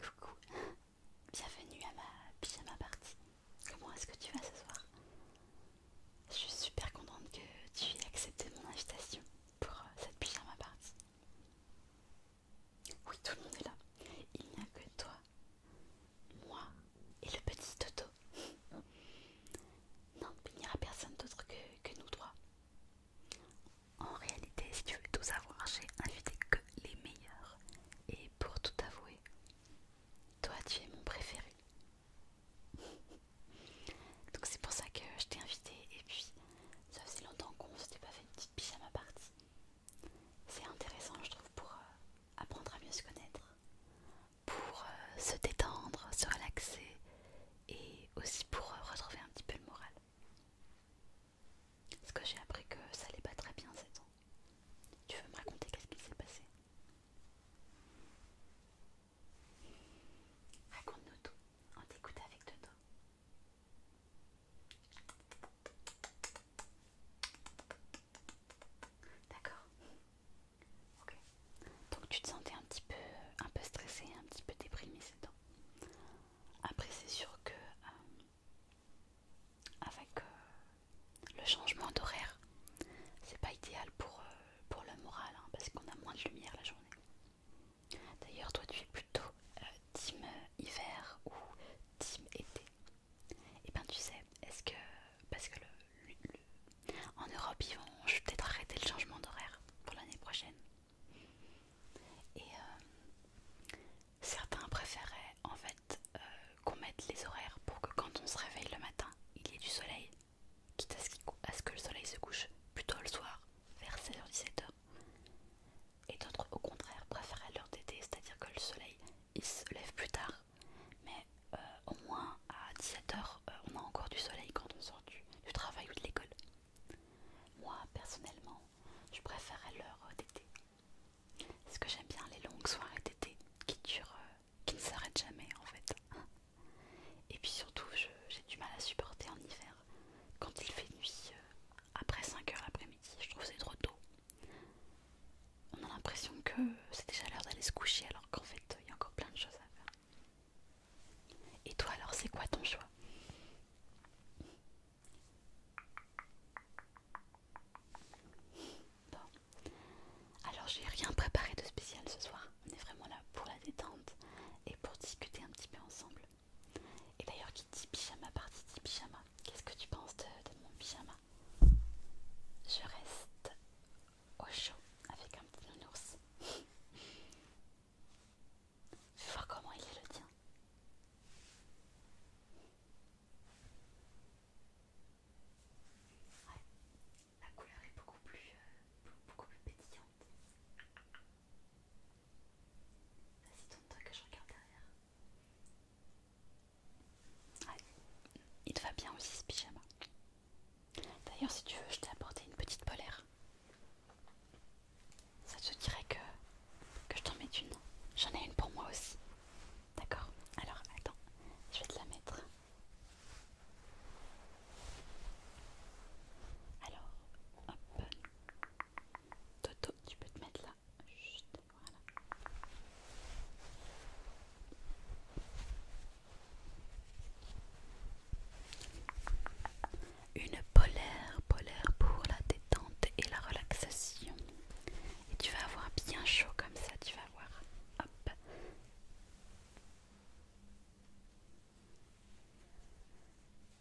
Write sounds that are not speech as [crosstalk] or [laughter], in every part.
Coucou, bienvenue à ma pyjama party. Comment est-ce que tu vas ce soir Je suis super contente que tu aies accepté mon invitation pour euh, cette pyjama party. Oui, tout le monde est là. Il n'y a que toi, moi et le petit Toto. Non, il n'y aura personne d'autre que, que nous trois. En réalité, si tu veux tout savoir, j'ai invité que les meilleurs. Et pour tout avouer, toi tu es mon préféré. [laughs] Donc c'est pour ça que je t'ai invité et puis ça faisait longtemps qu'on s'était pas fait une petite pyjama partie. C'est intéressant je trouve pour euh, apprendre à mieux se connaître, pour euh, se détendre, se relaxer et aussi pour euh, retrouver un petit peu le moral. Parce que j'ai appris que ça allait pas très bien ces temps. Tu veux me raconter qu'est-ce qui s'est passé Raconte-nous tout, on t'écoute avec Dodo. D'accord. Ok. Donc tu te sentais un petit peu, un peu stressée, un petit peu déprimée ces temps. Après, c'est sûr que euh, avec euh, le changement d'horaire, c'est pas idéal pour, euh, pour le moral hein, parce qu'on a moins de lumière la journée. D'ailleurs, toi, tu es plutôt team hiver ou team été. Et eh ben, tu sais, est-ce que parce que en Europe, ils vont, peut-être arrêter le changement d'horaire pour l'année prochaine. Et euh, certains préféraient en fait euh, qu'on mette les horaires pour que quand on se réveille le matin, il y ait du soleil, quitte à ce, que le soleil se couche plus tôt le soir, vers 16h-17h. Et d'autres au contraire préféraient l'heure d'été, c'est-à-dire que le soleil il se lève plus tard, mais euh, au moins à 17h on a encore du soleil quand on sort du travail ou de l'école. Moi, personnellement, je préfère l'heure d'été. Parce que j'aime bien les longues soirées d'été qui durent, euh, qui ne s'arrêtent jamais en fait. [laughs] Et puis surtout, j'ai du mal à supporter en hiver quand il fait nuit euh, après 5h après midi Je trouve c'est trop tôt. On a l'impression que c'est déjà l'heure d'aller se coucher alors qu'en fait il y a encore plein de choses à faire. Et toi alors, c'est quoi ton choix Bon, alors j'ai rien préparé de spécial ce soir. On est vraiment là pour la détente et pour discuter un petit peu ensemble. Et d'ailleurs, qui dit pyjama parti dit pyjama. Qu'est-ce que tu penses de, de mon pyjama Je reste au chaud avec un petit nounours vais voir comment il est le tien. Ouais, la couleur est beaucoup plus, euh, beaucoup plus pétillante. Vas-y, tourne-toi que je regarde derrière. il te va bien aussi ce pyjama. D'ailleurs, si tu veux, je t'ai apporté une petite polaire. Ça te dirait que, que je t'en mette une J'en ai une pour moi aussi. D'accord Alors attends, je vais te la mettre. Alors, hop. Toto, tu peux te mettre là. Juste, voilà. Une polaire, polaire pour la détente et la relaxation. Et tu vas avoir bien chaud comme ça, tu vas voir. Hop.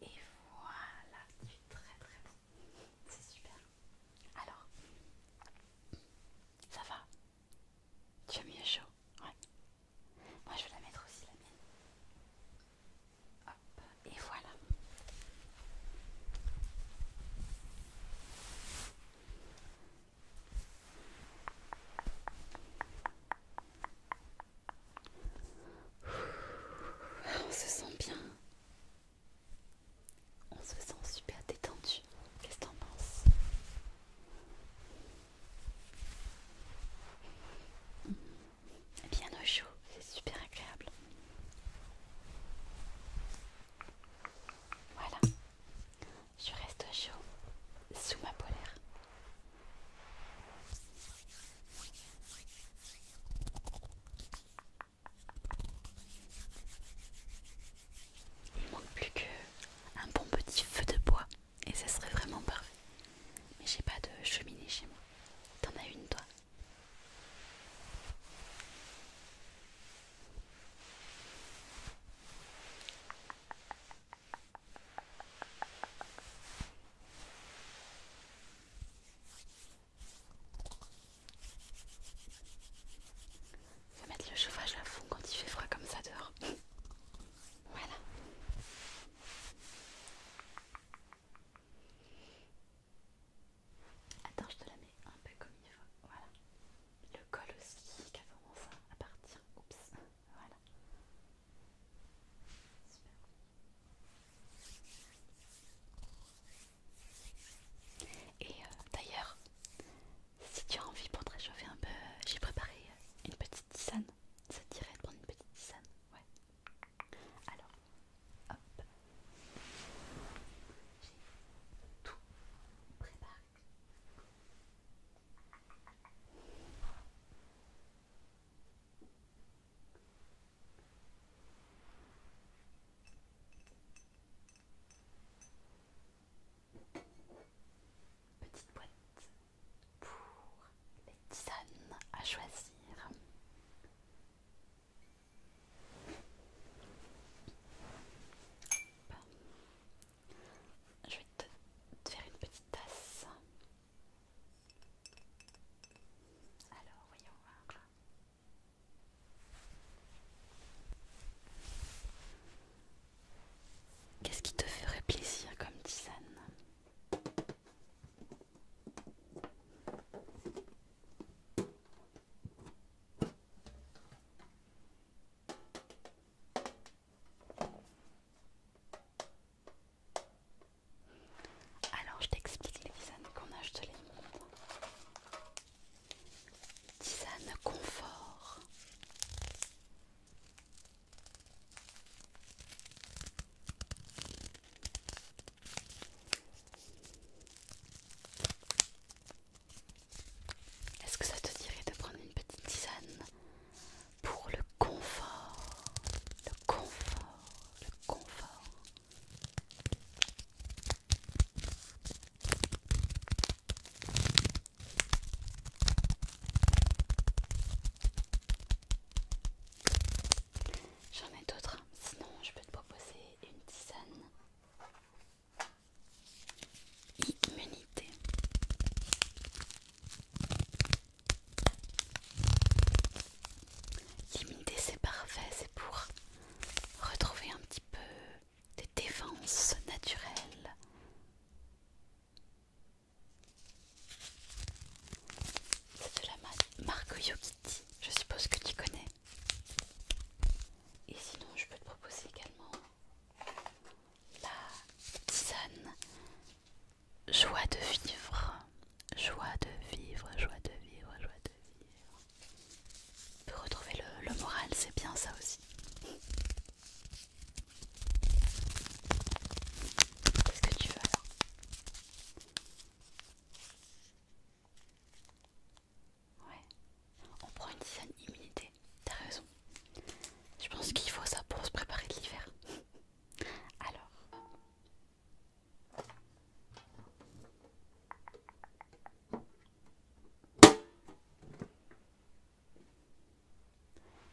Et voilà, C'est très très bon. C'est super. Alors, ça va Tu as mieux chaud Ouais. Moi je vais la mettre aussi la mienne. Hop, et voilà. On se sent bien. On se sent super détendu. Qu'est-ce que t'en penses bien au chaud, c'est super agréable. Voilà, je reste au chaud sous ma polaire. Il manque plus qu'un bon petit feu de bois et ça serait vraiment parfait. Mais j'ai pas de cheminée chez moi. T'en as une toi Faut mettre le chauffage à fond quand il fait froid comme ça dehors. [laughs] voilà. Attends, je te la mets un peu comme il faut. Voilà. Le col aussi, qu'avant ça partir, Oups. Voilà. Et euh, d'ailleurs, si tu as envie pour te réchauffer un peu, j'ai préparé une petite tisane. Ça te dirait de prendre une petite tisane Ouais. Alors, hop, j'ai tout préparé. Petite boîte pour les tisanes à choisir. Je vais te faire une petite tasse. Alors, voyons voir. Qu'est-ce qui te ferait plaisir comme tisane alors je t'explique les tisanes qu'on a, je te les montre. Tisane confort. Est-ce que ça te dirait de prendre une petite tisane pour le confort, le confort, le confort J'en ai d'autres, sinon je peux te proposer une tisane immunité. Immunité, c'est parfait, c'est pour retrouver un petit peu des défenses naturelles. C'est de la Marco marque Yogiti, je suppose que tu connais. Et sinon, je peux te proposer également la tisane Joie de vivre, joie de vivre, joie de vivre, joie de vivre. peut retrouver le moral, c'est bien ça aussi. Qu'est-ce que tu veux alors Ouais. On prend une dizaine immunité. T'as raison. Je pense qu'il faut ça pour se préparer de l'hiver. [laughs] Alors.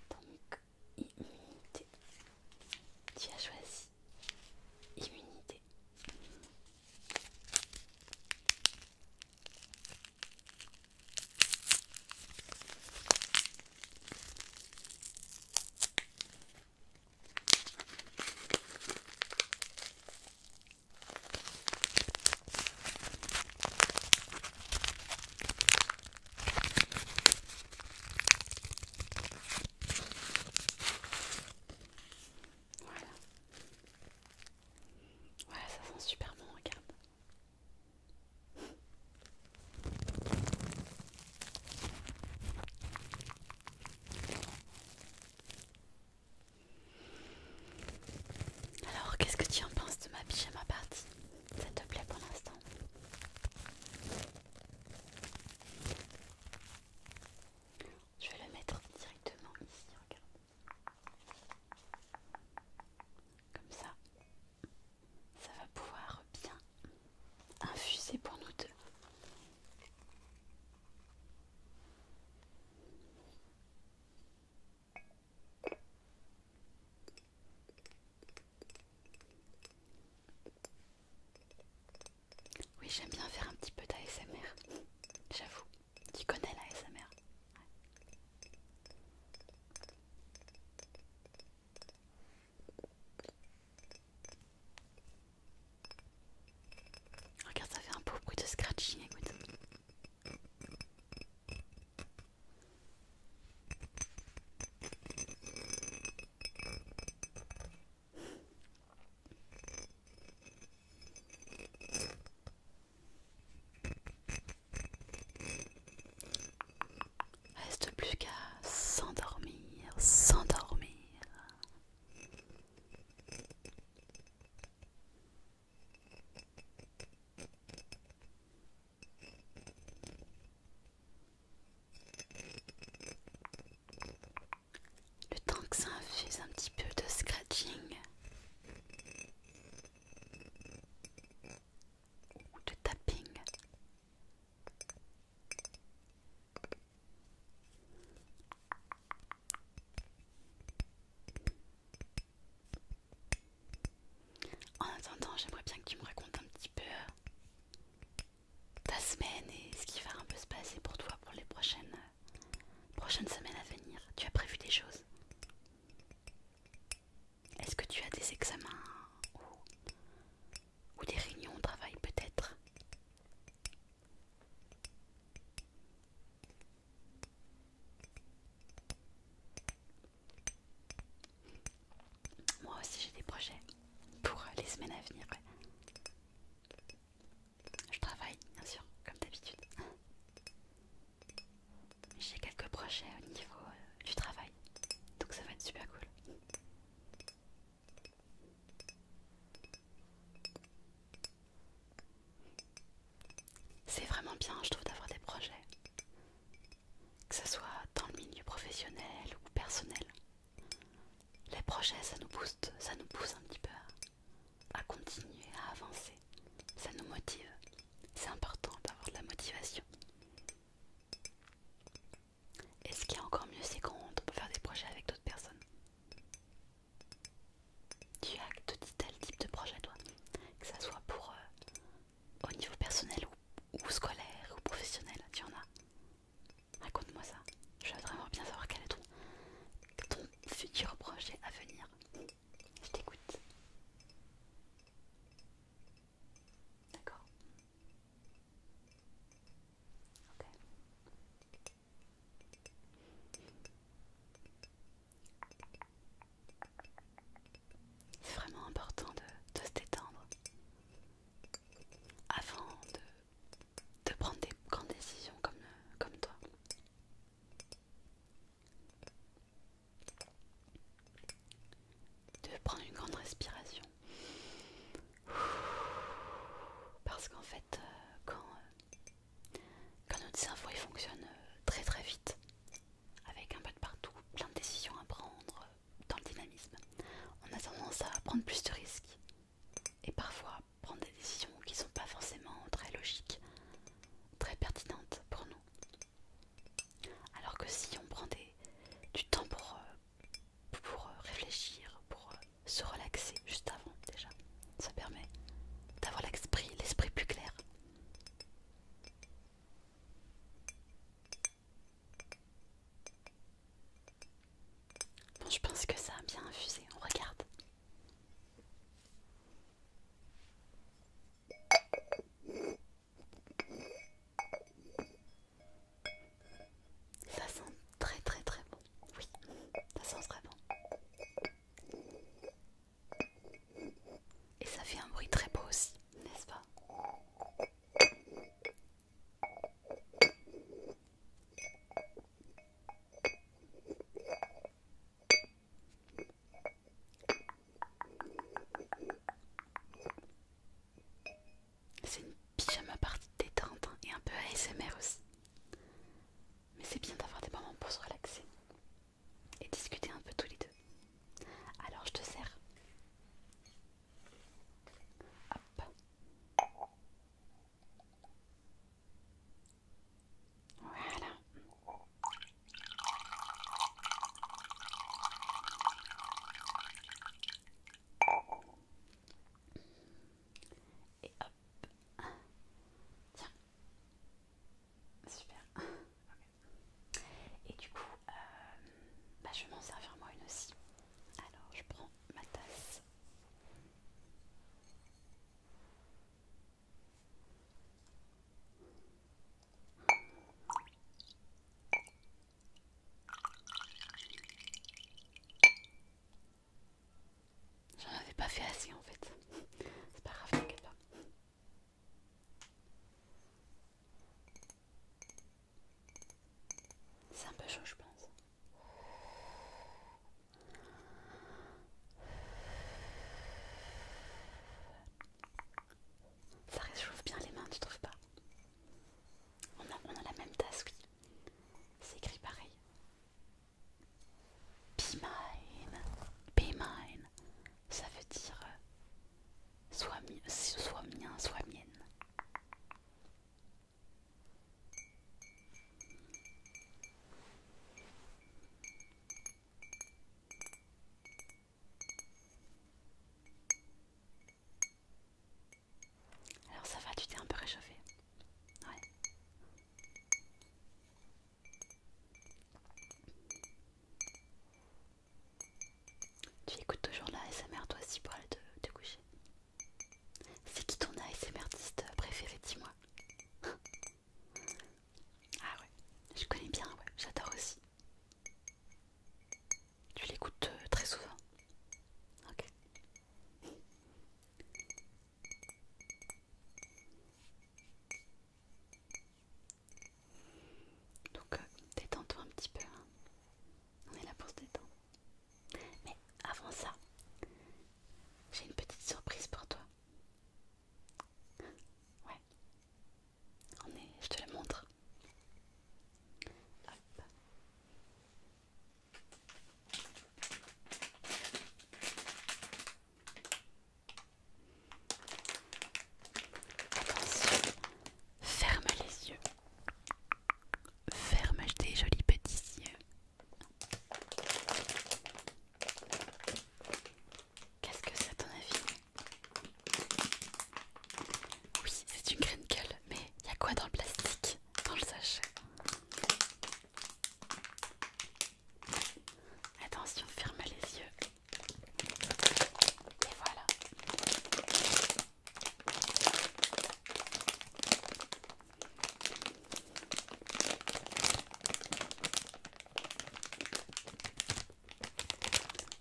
Donc immunité. Tu as choisi immunité. Voilà. ça sent super bon, regarde. Alors, qu'est-ce que tu en penses de ma ma party Ça te plaît pour l'instant je vais le mettre directement ici, regarde. Comme ça, ça va pouvoir bien infuser pour nous deux. Oui, j'aime bien faire un petit peu d'ASMR. J'avoue, tu connais l'ASMR. Regarde, ça fait un beau bruit de scratching, écoute. Reste plus qu'à s'endormir, s'endormir. Le temps que ça infuse un petit peu de scratching ou de tapping. En attendant, j'aimerais bien que tu me racontes un petit peu ta semaine et ce qui va un peu se passer pour toi pour les prochaines, euh, prochaines semaines à venir. Tu as prévu des choses Est-ce que tu as des examens ou, ou des réunions de travail peut-être moi aussi j'ai des projets pour euh, les semaines à venir. Je travaille bien sûr, comme d'habitude. J'ai quelques projets au niveau euh, du travail, donc ça va être super cool. C'est vraiment bien, je trouve, d'avoir des projets que ce soit dans le milieu professionnel ou personnel. Les projets, ça nous booste, ça nous pousse un petit peu à, continuer, à avancer. Ça nous motive. C'est important d'avoir de la motivation. Et ce qui est encore mieux, c'est quand on peut faire des projets avec d'autres personnes. Tu as de tel type de projet, toi, que ça soit pour euh, au niveau personnel ou, scolaire ou professionnel Tu en as Raconte-moi ça. Je veux vraiment bien savoir quel est ton, futur projet à venir. Je t'écoute. D'accord. Ok. C'est vraiment important de se détendre avant de, prendre des grandes décisions comme, toi. De prendre une grande respiration. Parce qu'en fait, euh, quand, euh, quand notre cerveau il fonctionne euh, très très vite, avec un peu de partout, plein de décisions à prendre, dans le dynamisme. On a tendance à prendre plus de risques et parfois prendre des décisions qui ne sont pas forcément très logiques, très pertinentes pour nous. Alors que si on prend du temps pour, euh, pour euh, réfléchir, pour euh, se relaxer juste avant déjà, ça permet d'avoir l'esprit plus clair je pense que ça a bien infusé. On regarde. Ça sent très très très bon. Oui, ça sent très bon. Et ça fait un bruit très beau aussi, n'est-ce pas c'est une pyjama partie détente hein, et un peu ASMR aussi. Mais c'est bien d'avoir des moments pour se relaxer et discuter un peu tous les deux. Alors je te sers. Et hop. Tiens. Super. Et du coup, euh, bah, je vais m'en servir moi une aussi. Alors, je prends ma tasse. J'en avais pas fait assez en fait. [laughs] C'est pas grave, t'inquiète pas. C'est un peu chaud, je pense. Ça réchauffe bien les mains, tu trouves pas on a, la même tasse, oui. C'est écrit pareil. Be mine, be mine. Ça veut dire euh, soit, mien, soit mienne. Alors ça va, tu t'es un peu réchauffé. Tu écoutes toujours la ASMR toi aussi pour aller te, coucher. C'est qui ton ASMR préféré, dis-moi [laughs] Ah ouais, je connais bien, ouais, j'adore aussi. Tu l'écoutes euh, très souvent. Ok. Donc euh, détends-toi un petit peu. Hein. On est là pour se détendre. Mais avant ça, j'ai une petite surprise pour toi. Ouais. On est, je te la montre. Attention, Ferme les yeux. Ferme tes jolis petits yeux. Qu'est-ce que c'est à ton avis Oui, c'est une graine mais il y a quoi dans le plastique Dans le sachet Attention, ferme les yeux. Et voilà.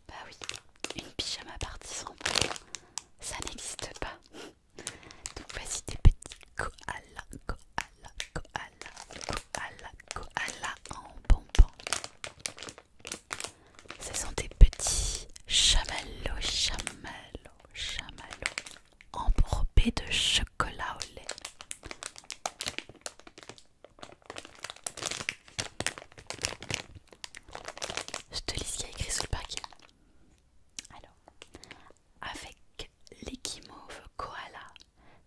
Bah oui, une pyjama partie sans ça n'existe pas. Donc voici des petits koala, koala, koala, koala, koala en bonbon. Ce sont des petits chamallows, chamallows, chamallows enrobés de chocolat au lait. Je te lis ce qu'il y a écrit sous le paquet. Alors, avec l'équimauve koala,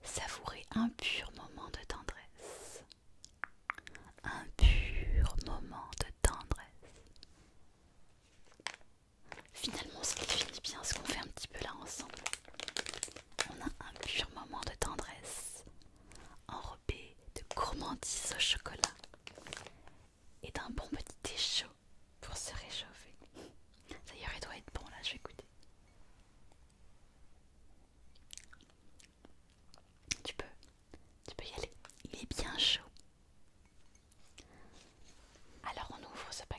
savourez un pur moment de tendresse un pur moment de tendresse. Finalement, ça finit bien ce qu'on fait un petit peu là ensemble. On a un pur moment de tendresse, enrobé de gourmandise au chocolat et d'un bon petit thé pour se réchauffer. D'ailleurs, il doit être bon là, je vais goûter. Tu peux tu peux y aller. Il est bien chaud. Alors on ouvre ce paquet.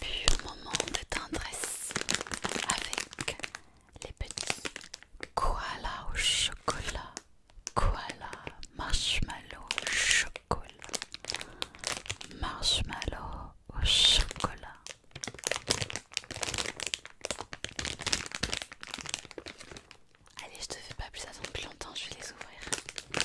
Puis moment de tendresse avec les petits koalas au chocolat, koala marshmallow au chocolat, marshmallow au chocolat. Allez, je te fais pas plus attendre plus longtemps, je vais les ouvrir.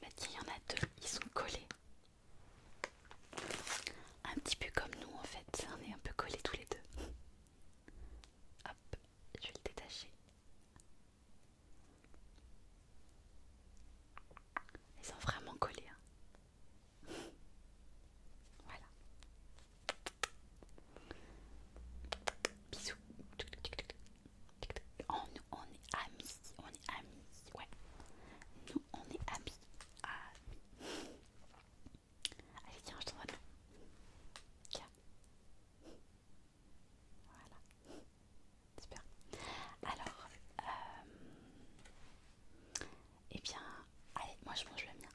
Bah tiens, y en a deux, ils sont collés. Un petit peu comme nous en fait, on est un peu collés tous les deux. Hop, je vais le détacher. Ils sont vraiment collés. Hein. Voilà. Bisous. On, oh, on est amis, on est amis, ouais. Nous, on est amis. Amis. Allez, tiens, je t'en donne. Tiens. Voilà. Super. Alors, euh, eh bien, allez, moi je mange le mien.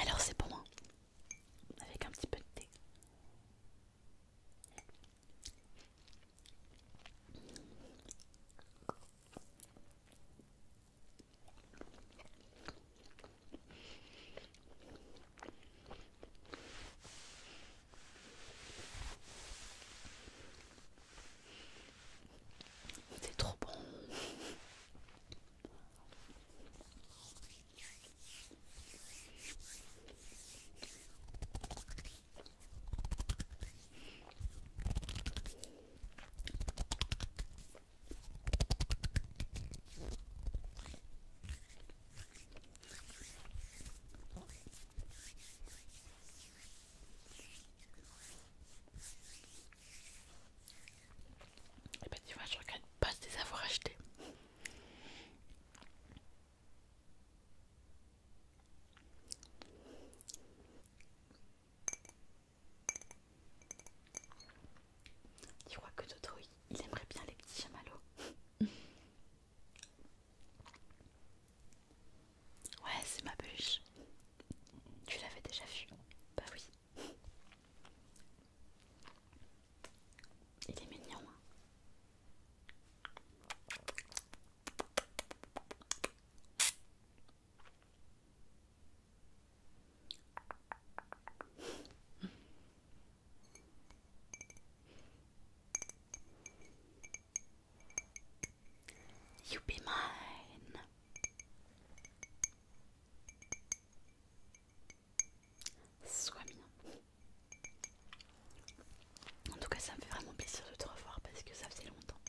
Alors c'est pour moi, avec un petit peu de thé. C'est trop bon. Et eh ben tu vois, je regrette pas de les avoir achetés. Tu crois que Toto il aimerait bien les petits chamallows [laughs] Ouais, c'est ma bûche. Tu l'avais déjà vu Bah oui. Il est mignon. Hein. You be mine. Sois mien. En tout cas, ça me fait vraiment plaisir de te revoir parce que ça faisait longtemps.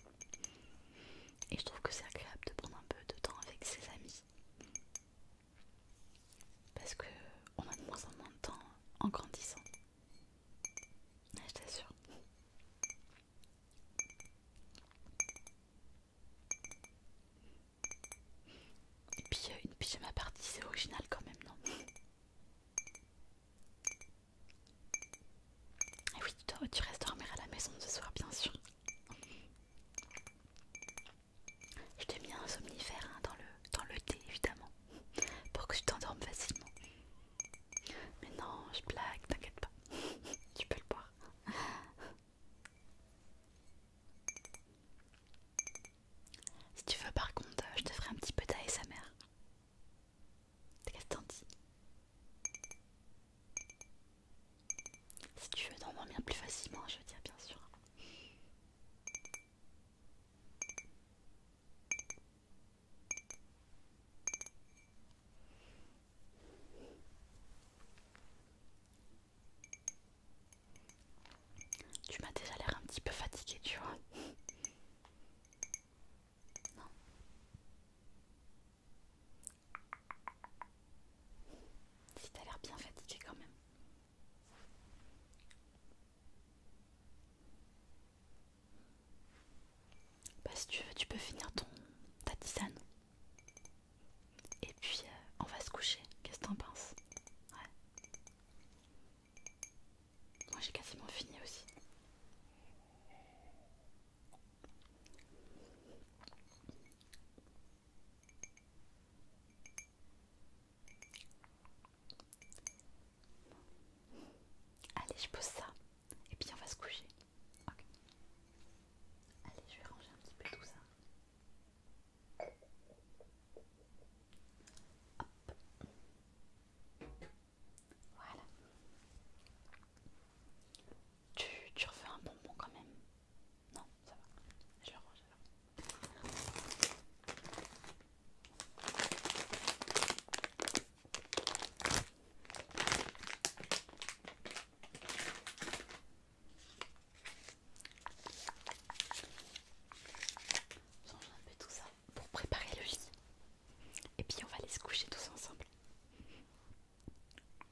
Et je trouve que c'est agréable de prendre un peu de temps avec ses amis. Parce que on a de moins en moins de temps en grandissant. Je t'assure. Et puis euh, une une pyjama partie, c'est original quand même, non Et ah oui, tu restes dormir à la maison ce soir, bien sûr. Je t'ai mis un somnifère hein, dans, le, dans le thé évidemment [laughs] pour que tu t'endormes facilement. Mais non, je blague, t'inquiète pas. [laughs] tu peux le boire. [laughs] si tu veux par contre, je te ferai un petit peu d'ASMR. Qu'est-ce que t'en dis si tu veux dormir plus facilement, je veux dire, bien sûr. Tu m'as déjà l'air un petit peu fatiguée, tu vois. Non. Si t'as l'air bien fatiguée quand même. Bah, si tu veux, tu peux finir ton ta tisane. Et puis euh, on va se coucher. Qu'est-ce que t'en penses Ouais. Moi j'ai quasiment fini aussi. Allez, je pose ça et puis on va se coucher. Ok Allez, je vais ranger un petit peu tout ça. Hop. Voilà. Tu, tu refais un bonbon quand même. Non, ça va. Je le range alors. Change un peu tout ça pour préparer le lit. Et puis on va aller se coucher tous ensemble.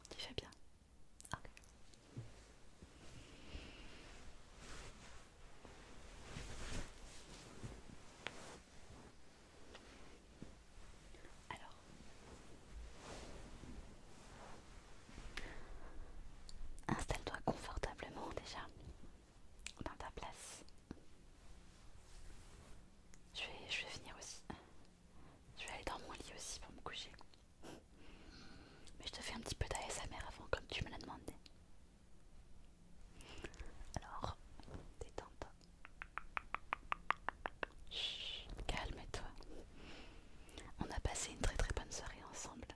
Tu fais bien. Alors, installe-toi confortablement déjà dans ta place. Je vais, je vais finir aussi. Je vais aller dans mon lit aussi pour me coucher. Mais je te fais un petit peu d'ASMR avant, comme tu me l'as demandé. Alors, détends-toi. Calme-toi. On a passé une très très bonne soirée ensemble.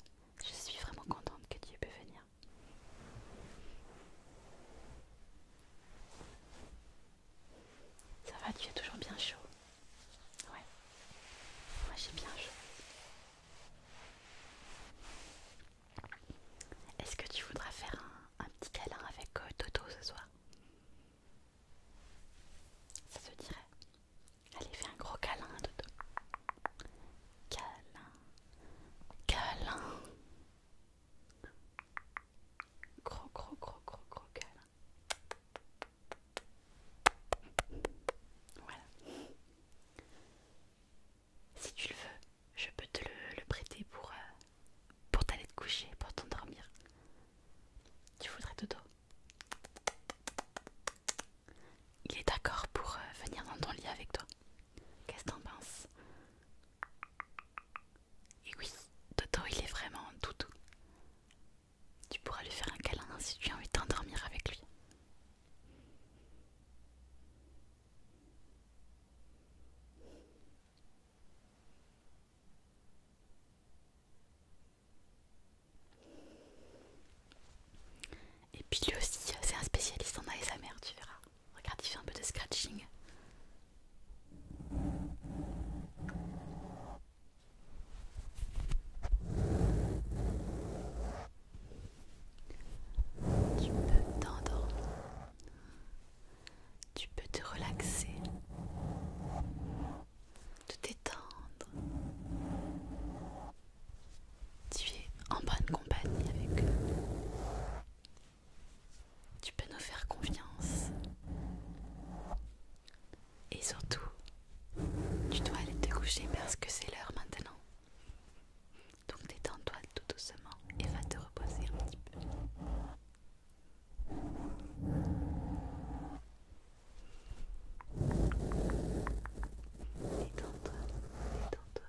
Je suis vraiment contente que tu aies pu venir. Ça va, tu es toujours bien chaud. Ouais, moi j'ai bien joué. Est-ce que tu voudras faire un, petit câlin avec euh, Toto ce soir Ça se dirait. Allez, fais un gros câlin Toto. Câlin, câlin. Gros, gros, gros, gros, gros câlin. Voilà. Si tu le veux, je peux te le, prêter pour, euh, pour t'aller te coucher, pour t'endormir. Tu voudrais Toto Il est d'accord pour euh, venir dans ton lit avec toi. Qu'est-ce que t'en penses Et oui, Toto il est vraiment toutou tu pourras lui faire un câlin si tu as envie de t'endormir avec lui. Et puis lui aussi, c'est un spécialiste en mère. tu verras. Regarde, il fait un peu de scratching. Tu peux t'endormir. Tu peux te relaxer. Te détendre. Tu es en bonne compagnie avec eux. Tu peux nous faire confiance. Et surtout, tu dois aller te coucher parce que c'est l'heure maintenant. Donc détends-toi tout doucement et va te reposer un petit peu. Détends-toi, détends-toi.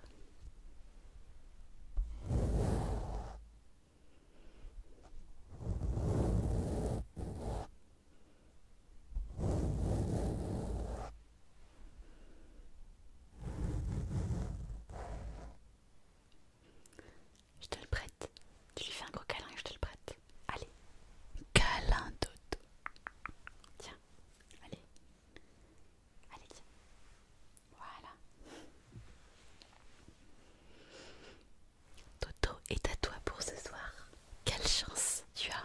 Je te le prête. Tu lui fais un gros câlin et je te le prête. Allez. Câlin Toto Tiens. Allez. Allez, tiens. Voilà. Toto est à toi pour ce soir. Quelle chance tu as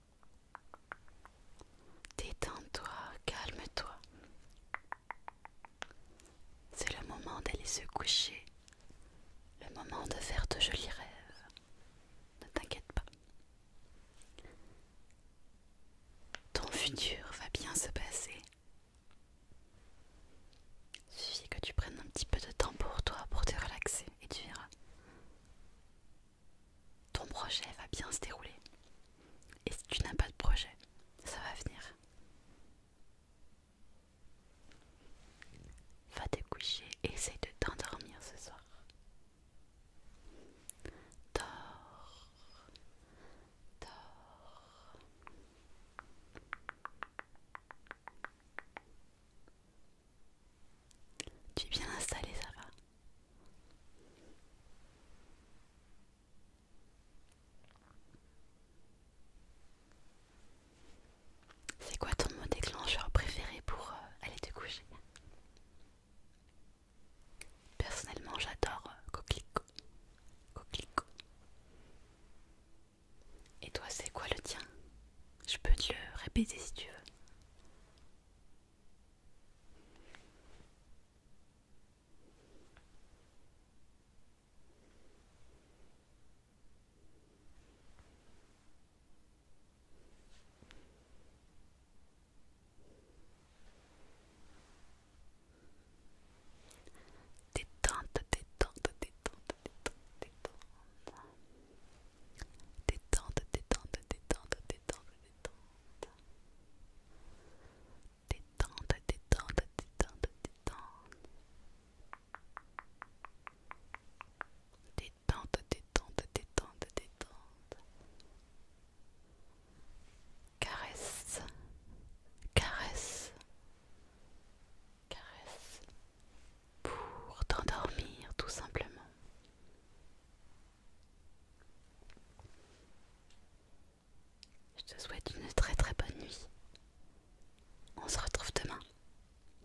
Détends-toi, calme-toi. C'est le moment d'aller se coucher, le moment de faire de jolis rêves. Ne t'inquiète pas. Ton futur va bien se passer. Suffit que tu prennes un petit peu de temps pour toi, pour te relaxer, et tu verras ton projet va bien se dérouler. Et si tu n'as pas de projet, ça va venir. Va te coucher et essaye de t'endormir ce soir. Dors. Dors. Tu es bien installé, ça va c'est quoi ton mot déclencheur préféré pour euh, aller te coucher Personnellement, j'adore euh, coquelicot. coquelicot. Et toi, c'est quoi le tien Je peux te le répéter si tu veux. Détente, détente, détente, détente, détente. Détente, détente, détente, détente, détente. Détente, détente, détente, détente. Détente, détente, détente, détente. Caresse, caresse, caresse. Pour t'endormir tout simplement. Je te souhaite une très très bonne nuit. On se retrouve demain.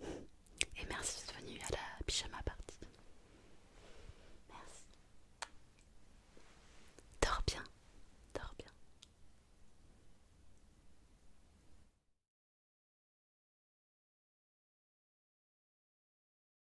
Et merci d'être venu à la pyjama party. Merci. Dors bien. Dors bien.